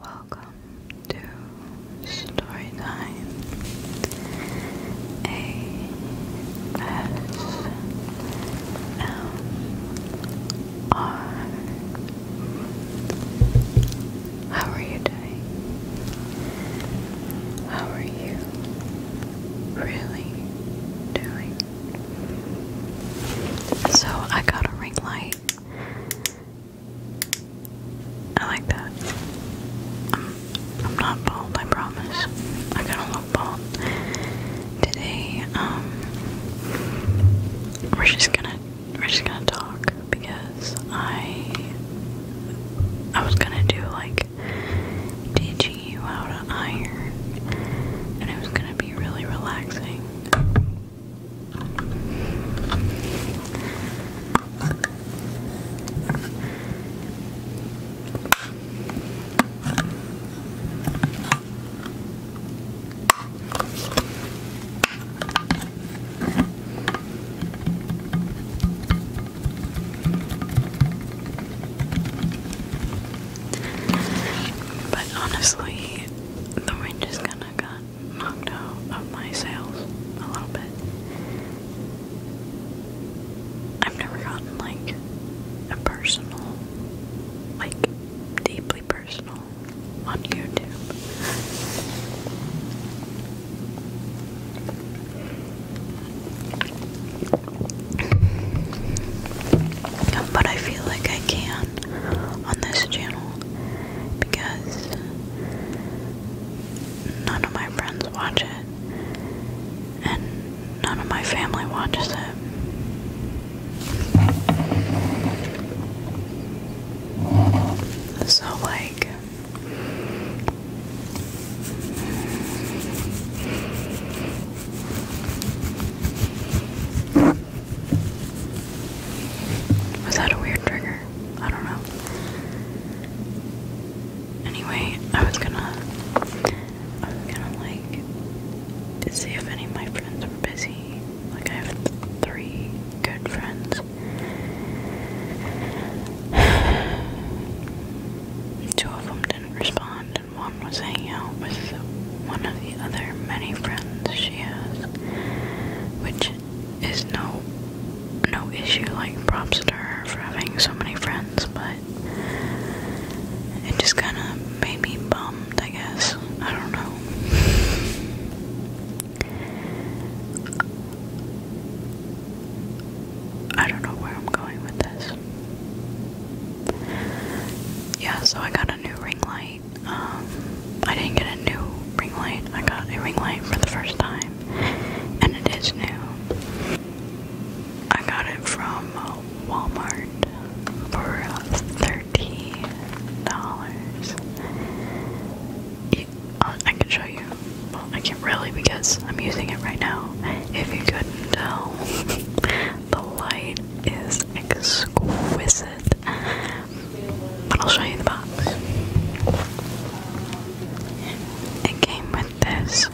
Welcome to Storytime ASMR. How are you doing? How are you really doing? So I got a ring light I like that. I'm, not bald, I promise. I gotta look bald today. Um, we're just gonna we're just gonna talk because I I was gonna do like teaching you how to iron, and it was gonna be really relaxing. But honestly, the wind is gonna cut knocked out of my sales a little bit. I've never gotten like a personal, like deeply personal on YouTube. but I feel like I can on this channel because none of my friends watch it and none of my family watches it. So, like, was that a weird trigger? I don't know. Anyway, I was gonna, I was gonna like to see if any of my friends were busy. Like I have three good friends. Two of them didn't respond, and one was hanging out with one of the other many friends she has, which is no no issue. Like props to her for having so many friends, but it just kind of made me bummed. I guess I don't know. I don't know where I'm going with this. Yeah, so I got a new ring light. Um, I didn't get a new ring light. I got a ring light for the first time, and it is new. I got it from Walmart for thirty dollars. Uh, I can show you. Well, I can't really because I'm using it right now. If you couldn't tell, the light is exquisite. But I'll show you the box. It came with this.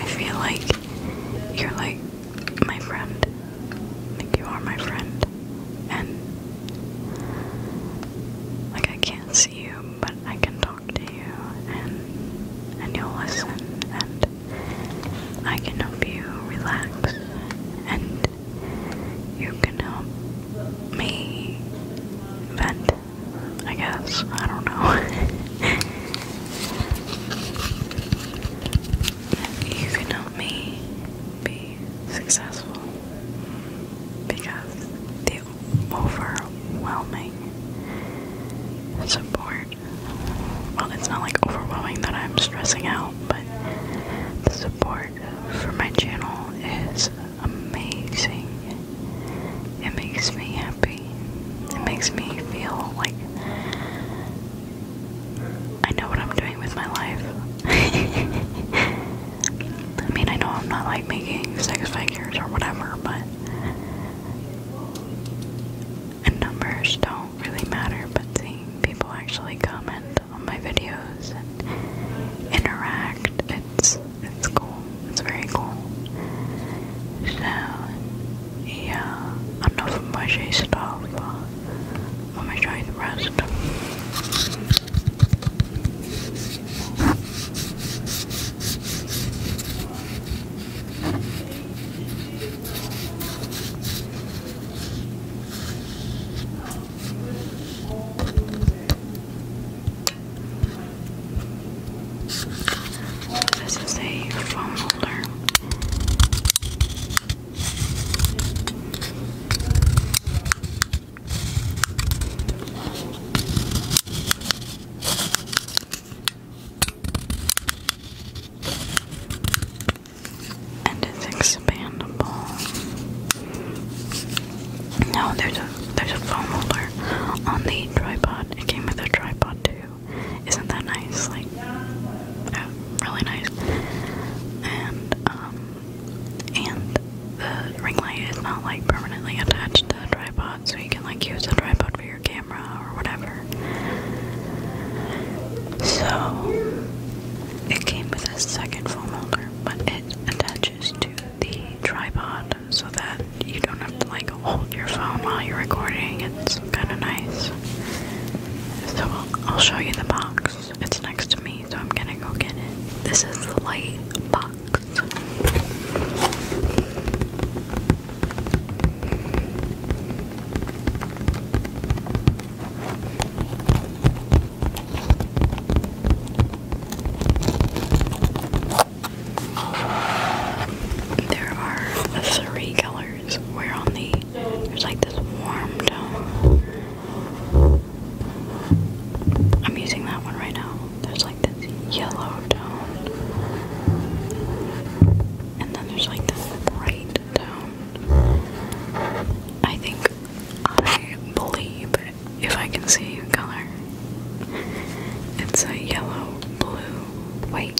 I feel like you're like my friend. Like you are my friend. And like I can't see you, but I can talk to you and and you'll listen and I can help you relax and you can help me vent, I guess. I don't know. you can help me be successful because the overwhelming support well, it's not like overwhelming that I'm stressing out, but the support for my channel is amazing. It makes me happy. It makes me feel like I know what I'm doing with my life. I mean, I know I'm not like making sex figures or whatever, but. And numbers don't really matter, but seeing people actually comment on my videos and interact, it's it's cool. It's very cool. So yeah, enough of my J stuff. Let me show the rest. This is a phone holder. And it's expandable. No, there's a there's a foam holder on the tripod. It came with a tripod too. Isn't that nice? Like, oh, really nice. And, um, and the ring light is not like permanently attached to the tripod, so you can like use the tripod for your camera or whatever. So, it came with a second foam holder, but it attaches to the tripod so that you don't like hold your phone while you're recording. It's kind of nice. So I'll, I'll show you the box. It's next to me, so I'm gonna go get it. This is the light box. There are three colors we're on the there's like this warm tone. I'm using that one right now. There's like this yellow tone. And then there's like this bright tone. I think I believe if I can see color. It's a yellow, blue, white,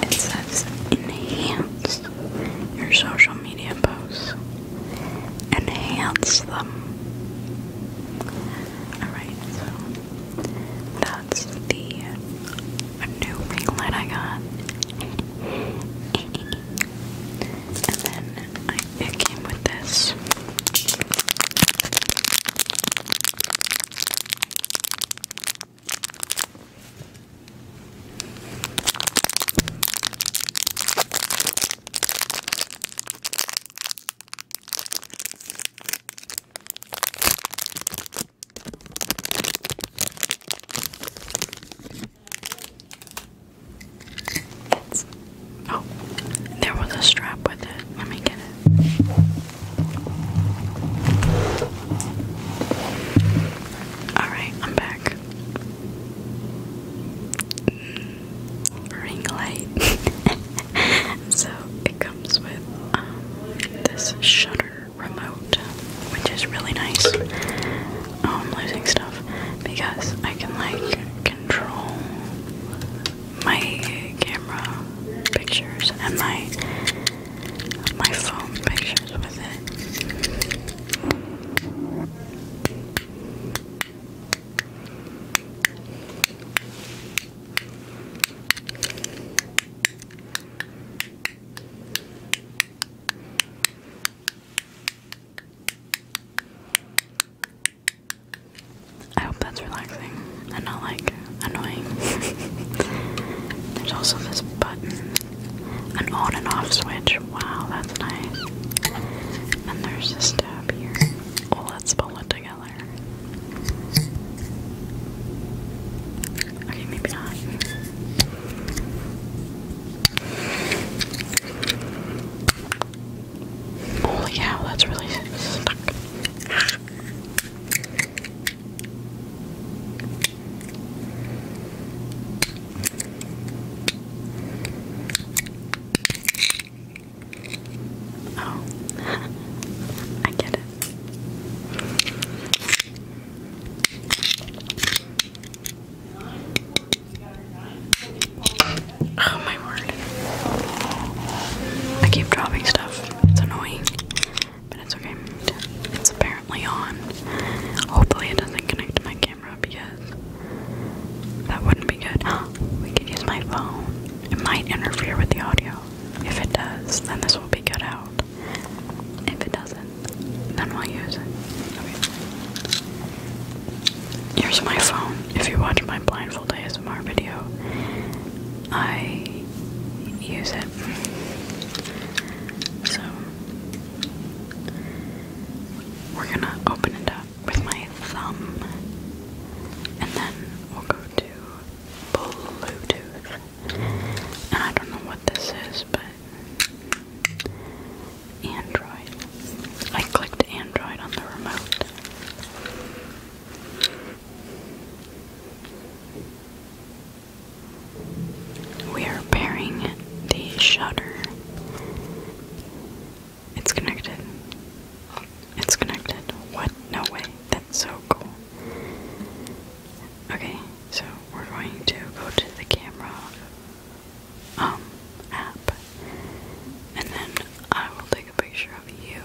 It says enhance your social media posts. Enhance them. Alright, so that's the a new ring light I got. and then it came with this oh, there was a strap with it. Let me get it. Alright, I'm back. Ring light. so it comes with um, this shutter remote, which is really nice. I'm um, losing stuff because I can like control my camera pictures and my my phone pictures with it. I hope that's relaxing and not like annoying. There's also this button, an on and off switch. Wow, that's nice. And there's this tab here. let's oh, spell it together yellow. Okay, maybe not. Holy cow, that's really stuck. Oh, I get it. Oh my word. I keep dropping stuff. It's annoying. But it's okay. It's apparently on. Hopefully it doesn't connect to my camera because that wouldn't be good. we could use my phone. It might interfere with the audio. If it does, then this will be good out. If it doesn't, then we'll use it. Here's my phone. If you watch my blindfold ASMR video, I use it. So, we're gonna open it up with my thumb, and then we'll go to Bluetooth. I don't know what this is, but Android. I clicked Android on the remote. We are pairing the shutter. It's connected. It's connected. What? No way so cool. Okay, so we're going to go to the camera um, app and then I will take a picture of you.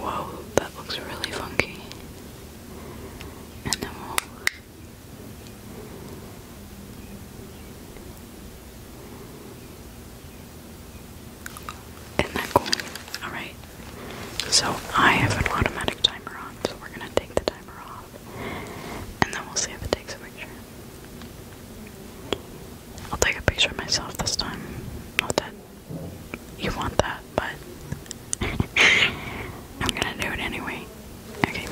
Whoa, that looks really funky. And then we'll isn't that Alright. So I have an automatic timer on, so we're gonna take the timer off. And then we'll see if it takes a picture. I'll take a picture of myself this time. Not that you want that, but I'm gonna do it anyway. Okay.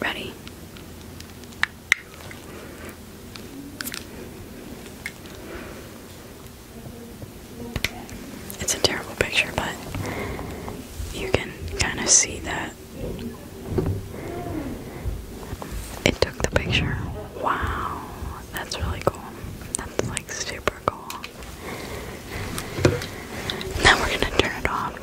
Ready? It's a terrible picture, but you can kind of see that it took the picture. Wow, that's really cool. That's like super cool. Now we're gonna turn it off.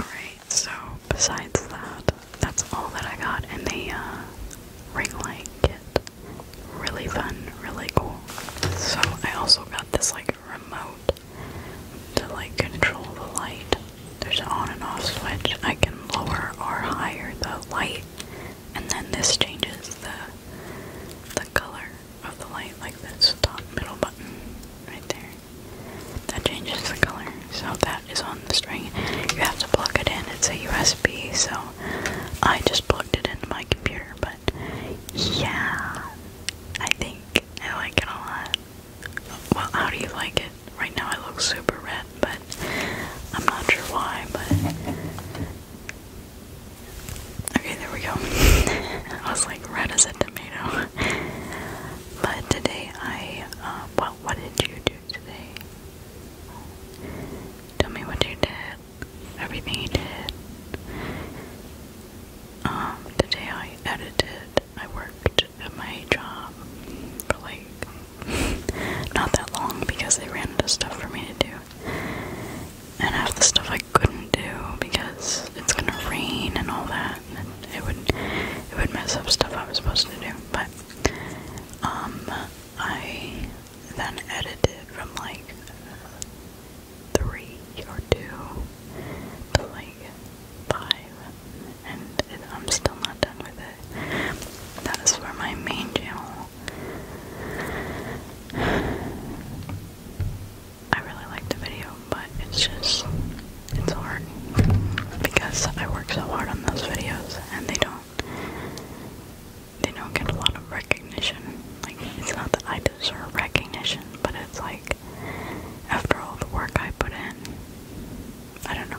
Alright, so besides that, that's all that I got in the uh, ring light kit. Really fun, really cool. So I also got this like remote to like control the light. There's an on and off switch. I can lower or higher the light and then this changes the the color of the light like this top middle button right there. That changes the color. So that is on the string. You have to plug it in. It's a USB, so I just plugged it into my computer, but yeah. I think I like it a lot. Well, how do you like it? Right now I look super red but I'm not sure why, but okay, there we go. I was like, red as a tomato. but today I, uh, well, what did you do today? Tell me what you did, everything you did. Um, today I edited, I worked at my job for like not that long because they ran out of stuff for me to do. And half the stuff I couldn't do because it's gonna rain and all that, and it would it would mess up stuff I was supposed to do. But um, I then edited from like three or two to like five, and it, I'm still not done that is for my main channel. I really like the video, but it's just, it's hard. Because I work so hard on those videos and they don't, they don't get a lot of recognition. Like, it's not that I deserve recognition, but it's like, after all the work I put in, I don't know.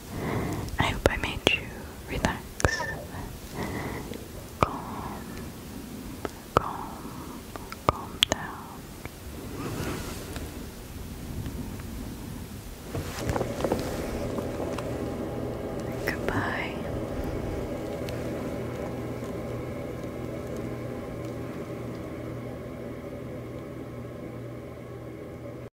I hope I made you relax, calm, calm, calm down. Goodbye.